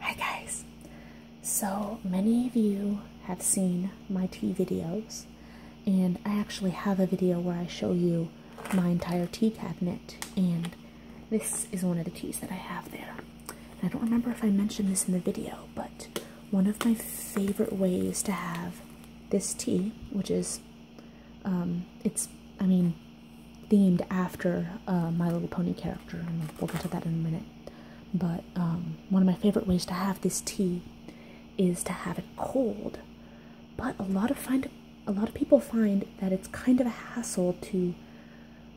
Hi guys! So many of you have seen my tea videos, and I actually have a video where I show you my entire tea cabinet, and this is one of the teas that I have there. I don't remember if I mentioned this in the video, but one of my favorite ways to have this tea, which is, um, it's, I mean, themed after uh, My Little Pony character, and we'll get to that in a minute. But um, one of my favorite ways to have this tea is to have it cold. But a lot of find a lot of people find that it's kind of a hassle to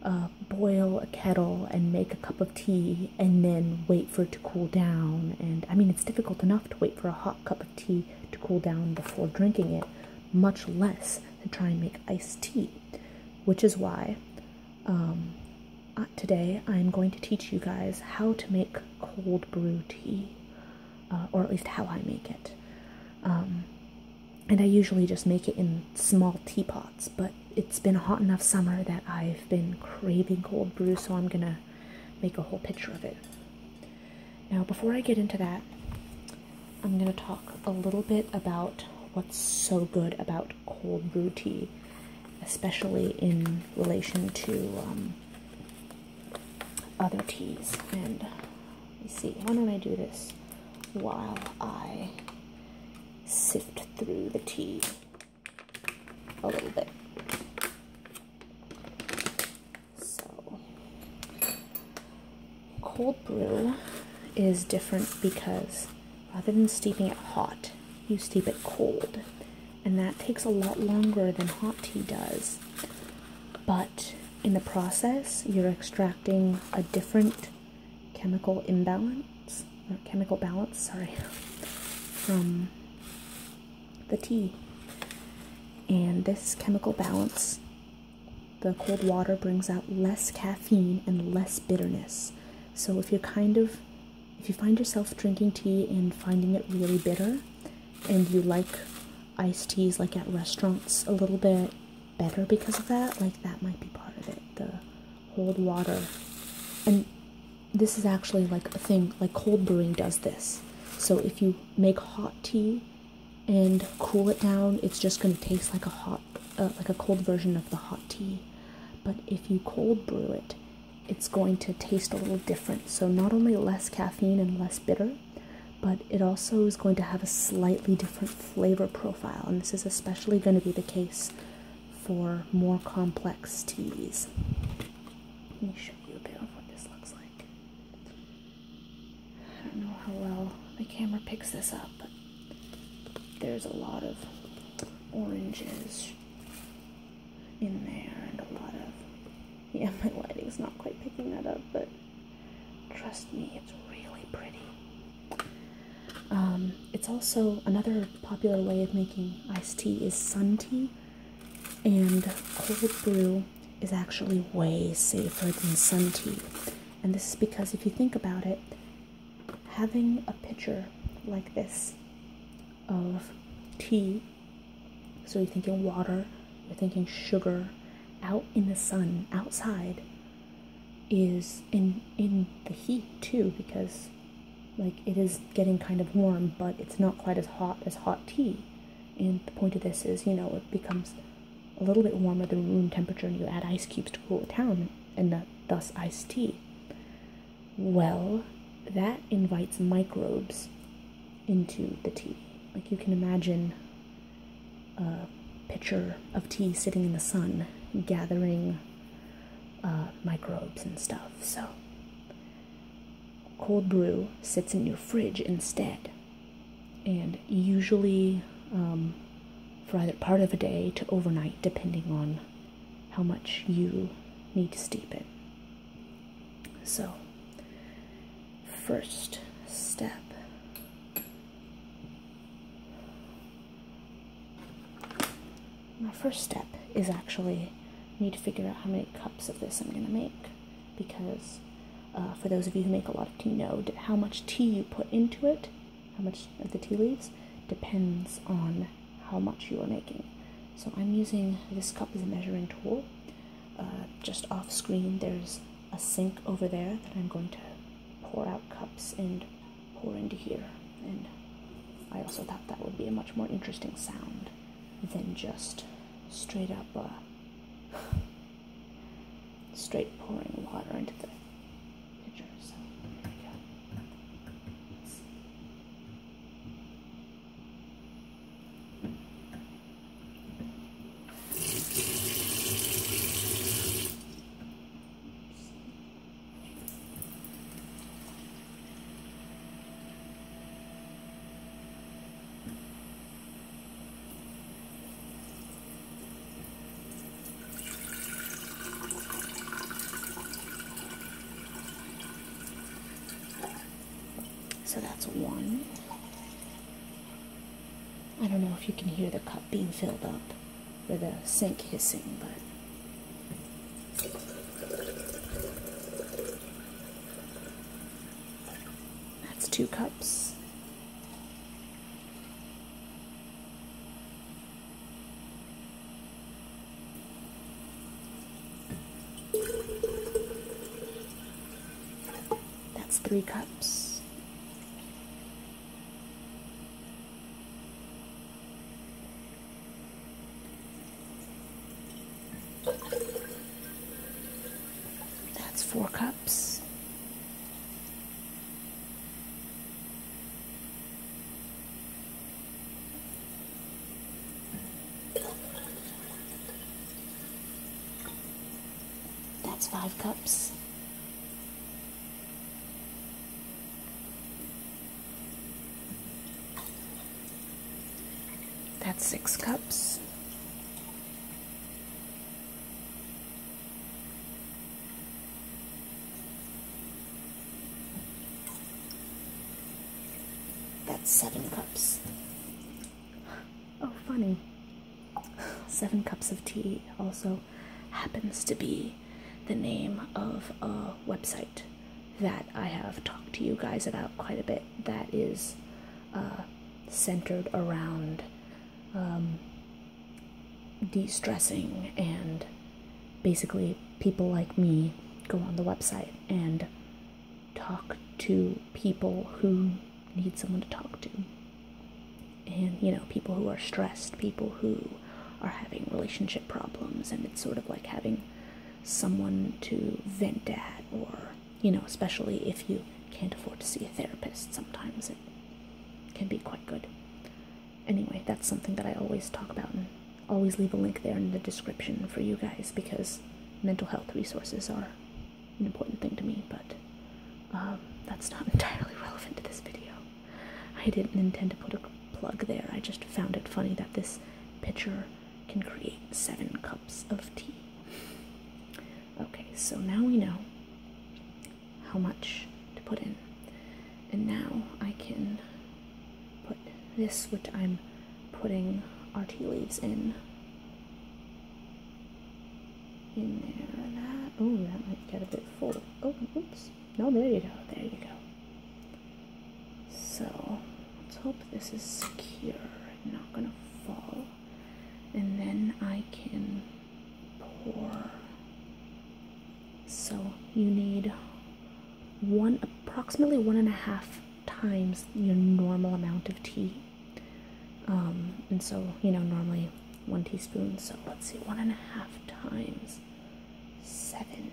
uh, boil a kettle and make a cup of tea and then wait for it to cool down. And I mean, it's difficult enough to wait for a hot cup of tea to cool down before drinking it, much less and try and make iced tea, which is why um, today I'm going to teach you guys how to make cold brew tea, uh, or at least how I make it. Um, and I usually just make it in small teapots, but it's been a hot enough summer that I've been craving cold brew, so I'm gonna make a whole pitcher of it. Now, before I get into that, I'm going to talk a little bit about what's so good about cold brew tea, especially in relation to um, other teas. And let me see, why don't I do this while I sift through the tea a little bit? So, cold brew is different because rather than steeping it hot, you steep it cold. And that takes a lot longer than hot tea does. But in the process, you're extracting a different chemical imbalance, chemical balance, sorry, from the tea. And this chemical balance the cold water brings out less caffeine and less bitterness. So if you're kind of if you find yourself drinking tea and finding it really bitter and you like iced teas like at restaurants a little bit better because of that, like that might be part of it. The cold water. And this is actually like a thing like cold brewing does this. So if you make hot tea and cool it down, it's just going to taste like a hot, uh, like a cold version of the hot tea. But if you cold brew it, it's going to taste a little different. So not only less caffeine and less bitter, but it also is going to have a slightly different flavor profile. And this is especially going to be the case for more complex teas. Let me show you a bit of what this looks like. I don't know how well the camera picks this up, but there's a lot of oranges in there and a lot of. Yeah, my lighting's not quite picking that up, but trust me, it's really pretty. Um, it's also another popular way of making iced tea is sun tea and cold brew is actually way safer than sun tea. And this is because if you think about it, having a pitcher like this of tea, so you're thinking water, you're thinking sugar, out in the sun, outside, is in in the heat too, because like it is getting kind of warm, but it's not quite as hot as hot tea. And the point of this is, you know, it becomes a little bit warmer than room temperature, and you add ice cubes to cool it down, and the, thus iced tea. Well, that invites microbes into the tea. Like you can imagine a pitcher of tea sitting in the sun, gathering uh, microbes and stuff. So cold brew sits in your fridge instead. And usually um, for either part of a day to overnight, depending on how much you need to steep it. So, first step my first step is actually need to figure out how many cups of this I'm going to make because uh, for those of you who make a lot of tea, know how much tea you put into it, how much of the tea leaves, depends on how much you are making. So I'm using this cup as a measuring tool. Uh, just off screen, there's a sink over there that I'm going to pour out cups and pour into here. And I also thought that would be a much more interesting sound than just straight up uh, straight pouring water into the pitcher. So that's one. I don't know if you can hear the cup being filled up or the sink hissing, but that's two cups. That's three cups. That's four cups. That's five cups. That's six cups. That's seven cups. Oh, funny. Seven cups of tea also happens to be the name of a website that I have talked to you guys about quite a bit that is uh, centered around um, de stressing, and basically, people like me go on the website and talk to people who need someone to talk to. And, you know, people who are stressed, people who are having relationship problems, and it's sort of like having someone to vent at, or you know, especially if you can't afford to see a therapist, sometimes it can be quite good. Anyway, that's something that I always talk about and always leave a link there in the description for you guys because mental health resources are an important thing to me, but um, that's not entirely relevant to this video. I didn't intend to put a plug there. I just found it funny that this pitcher can create seven cups of tea. Okay, so now we know how much to put in. And now I can put this, which I'm putting our tea leaves in. In there, that. Oh, that might get a bit full. Oh, oops. No, there you go. There you go. So let's hope this is secure not gonna fall. And then I can pour. So you need one approximately one and a half times your normal amount of tea. Um, and so you know normally one teaspoon. So let's see, one and a half times seven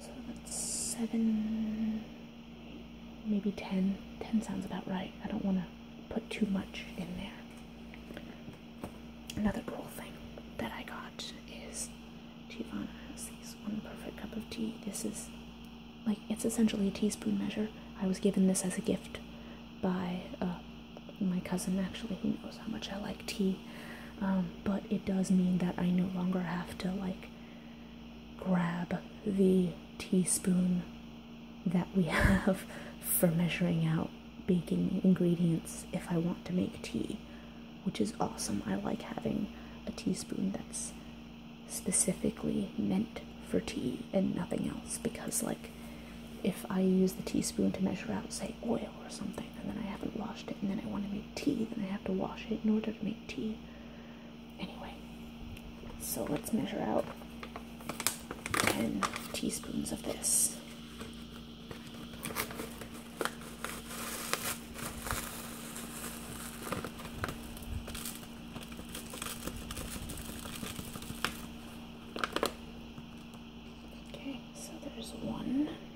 so that's seven, maybe ten. Ten sounds about right. I don't want to put too much in there. Another cool thing that I got is Giovanna has these one perfect cup of tea. This is like it's essentially a teaspoon measure. I was given this as a gift by uh, my cousin, actually, who knows how much I like tea. Um, but it does mean that I no longer have to like grab the teaspoon that we have for measuring out baking ingredients if I want to make tea, which is awesome. I like having a teaspoon that's specifically meant for tea and nothing else because, like, if I use the teaspoon to measure out, say, oil or something and then I haven't washed it and then I want to make tea, then I have to wash it in order to make tea. Anyway, so let's measure out 10 teaspoons of this. Okay, so there's one.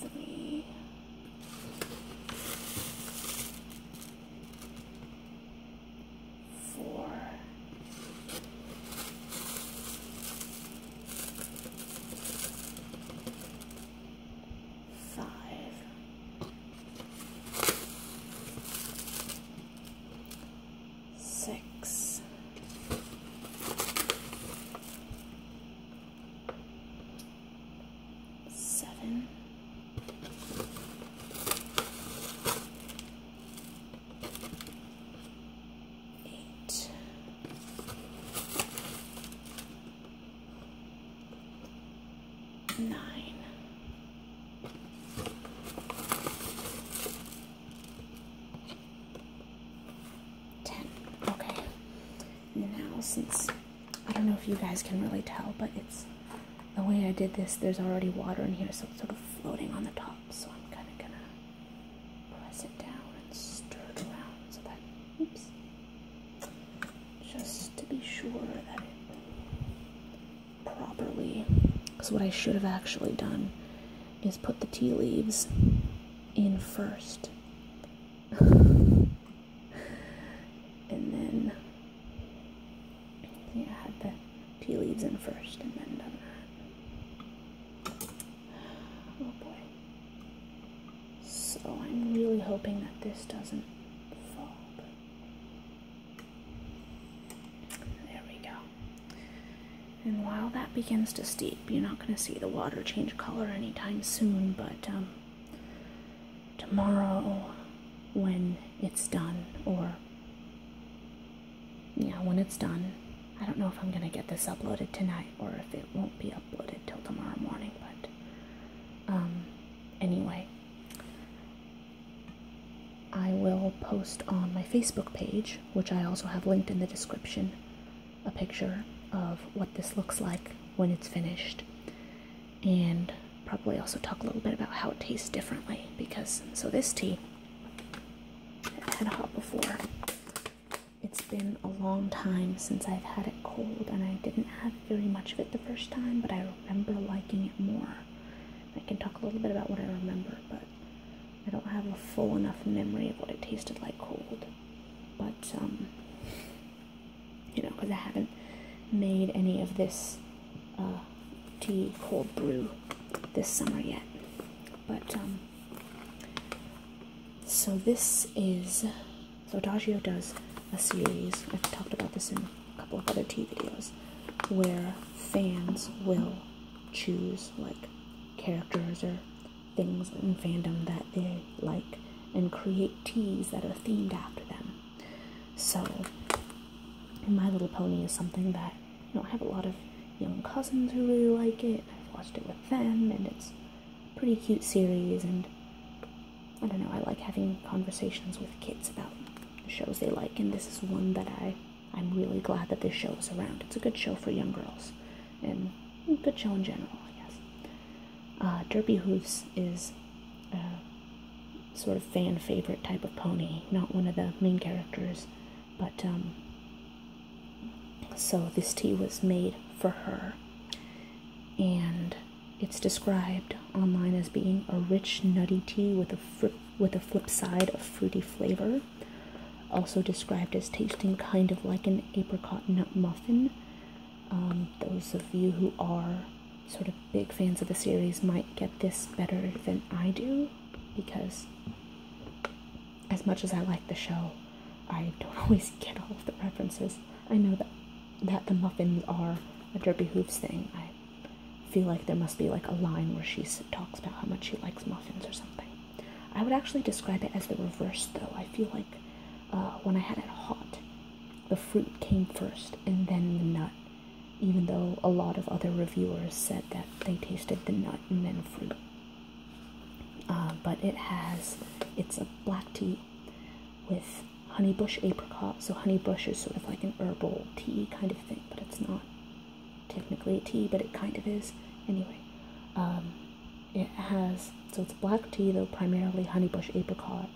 three, four, five, six. Seven, eight, nine, ten. nine. Ten. Okay. Now since I don't know if you guys can really tell, but it's the way I did this. There's already water in here, so it's sort of floating on the top. So I'm kind of gonna press it down and stir it around so that, oops, just to be sure that it properly. Because what I should have actually done is put the tea leaves in first and then yeah, I had the tea leaves in first and then Oh boy. So I'm really hoping that this doesn't fall. there we go. And while that begins to steep, you're not going to see the water change color anytime soon, but um, tomorrow when it's done, or yeah, when it's done, I don't know if I'm going to get this uploaded tonight or if it won't be uploaded till tomorrow morning, but um, anyway, I will post on my Facebook page, which I also have linked in the description a picture of what this looks like when it's finished and probably also talk a little bit about how it tastes differently because so this tea had hot before it's been a long time since I've had it cold and I didn't have very much of it the first time but I remember liking it more I can talk a little bit about what I remember but I don't have a full enough memory of what it tasted like cold but um, you know, because I haven't made any of this uh, tea cold brew this summer yet. But um, so this is so Adagio does a series. I've talked about this in a couple of other tea videos where fans will choose like characters or things in fandom that they like and create teas that are themed after them. So, My Little Pony is something that you know I have a lot of young cousins who really like it. I've watched it with them, and it's a pretty cute series. And I don't know, I like having conversations with kids about shows they like, and this is one that I I'm really glad that this show is around. It's a good show for young girls, and good show in general, I guess. Uh, Derby Derpy Hoofs is a sort of fan favorite type of pony, not one of the main characters, but um, so this tea was made for her, and it's described online as being a rich, nutty tea with a with a flip side of fruity flavor. Also described as tasting kind of like an apricot nut muffin. Um, those of you who are sort of big fans of the series might get this better than I do because, as much as I like the show, I don't always get all of the references. I know that, that the muffins are a Derby Hooves thing. I feel like there must be like a line where she talks about how much she likes muffins or something. I would actually describe it as the reverse, though. I feel like uh, when I had it hot, the fruit came first and then the nut, even though a lot of other reviewers said that they tasted the nut and then fruit. Uh, but it has, it's a black tea with honeybush apricot. So honeybush is sort of like an herbal tea kind of thing, but it's not technically tea, but it kind of is. Anyway, um, it has, so it's black tea though, primarily honeybush apricot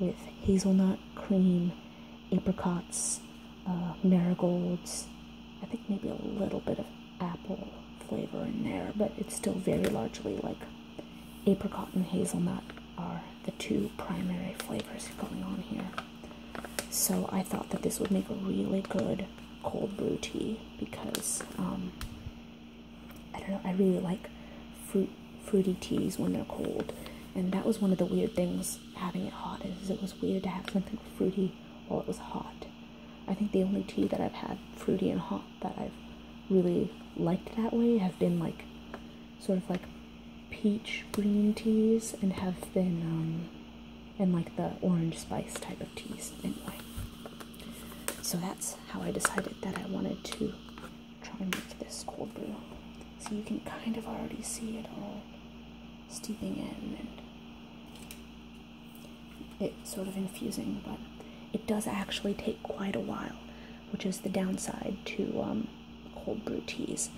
with hazelnut, cream, apricots, uh, marigolds. I think maybe a little bit of apple flavor in there, but it's still very largely like apricot and hazelnut are the two primary flavors going on here. So I thought that this would make a really good cold brew tea because um, I don't know, I really like fruit fruity teas when they're cold. And that was one of the weird things having it hot is it was weird to have something fruity while it was hot. I think the only tea that I've had fruity and hot that I've really liked that way have been like sort of like peach green teas and have been um, and like the orange spice type of teas anyway. So that's how I decided that I wanted to try and make this cold brew. So you can kind of already see it all steeping in and it sort of infusing, but it does actually take quite a while, which is the downside to um, cold brew teas,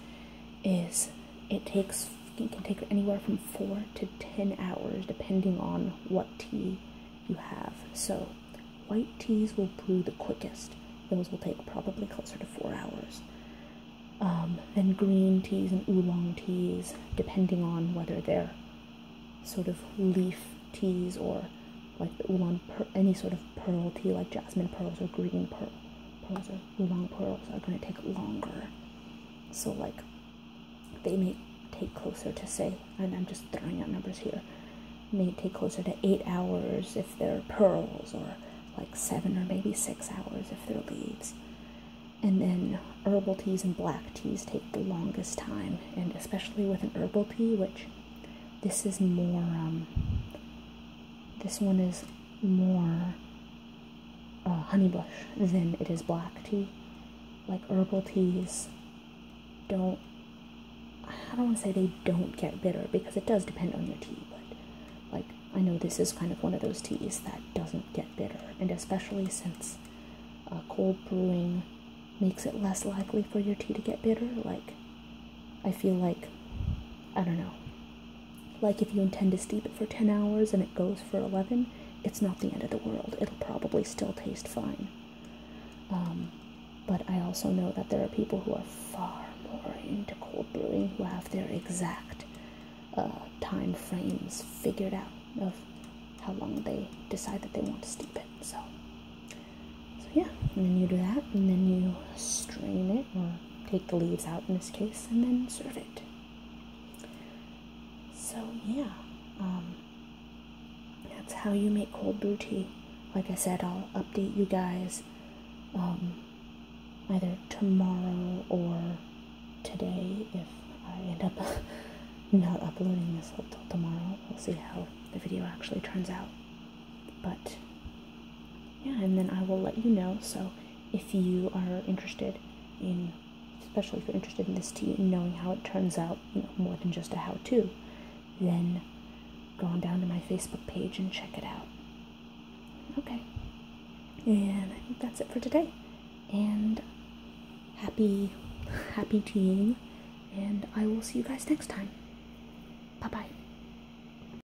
is it takes it can take anywhere from four to ten hours depending on what tea you have. So white teas will brew the quickest. Those will take probably closer to four hours. Um, then green teas and oolong teas, depending on whether they're sort of leaf teas or like the oolong, any sort of pearl tea, like jasmine pearls or green pearls your long pearls are going to take longer. So, like, they may take closer to, say, and I'm just throwing out numbers here, may take closer to eight hours if they're pearls, or like seven or maybe six hours if they're leaves. And then herbal teas and black teas take the longest time, and especially with an herbal tea, which this is more, um, this one is more uh, honeybush than it is black tea. Like herbal teas don't, I don't want to say they don't get bitter because it does depend on your tea, but like I know this is kind of one of those teas that doesn't get bitter, and especially since uh, cold brewing makes it less likely for your tea to get bitter. Like, I feel like, I don't know, like if you intend to steep it for 10 hours and it goes for 11, it's not the end of the world. It'll probably still taste fine. Um, but I also know that there are people who are far more into cold brewing who have their exact uh, time frames figured out of how long they decide that they want to steep it. So, so yeah, and then you do that, and then you strain it or take the leaves out in this case, and then serve it. So, yeah, um, that's how you make cold brew tea. Like I said, I'll update you guys um, either tomorrow or today if I end up not uploading this until tomorrow. We'll see how the video actually turns out. But yeah, and then I will let you know. So if you are interested in, especially if you're interested in this tea and knowing how it turns out, more than just a how to, then go on down to my Facebook page and check it out. Okay. And that's it for today. And happy, happy teaing! And I will see you guys next time. Bye bye.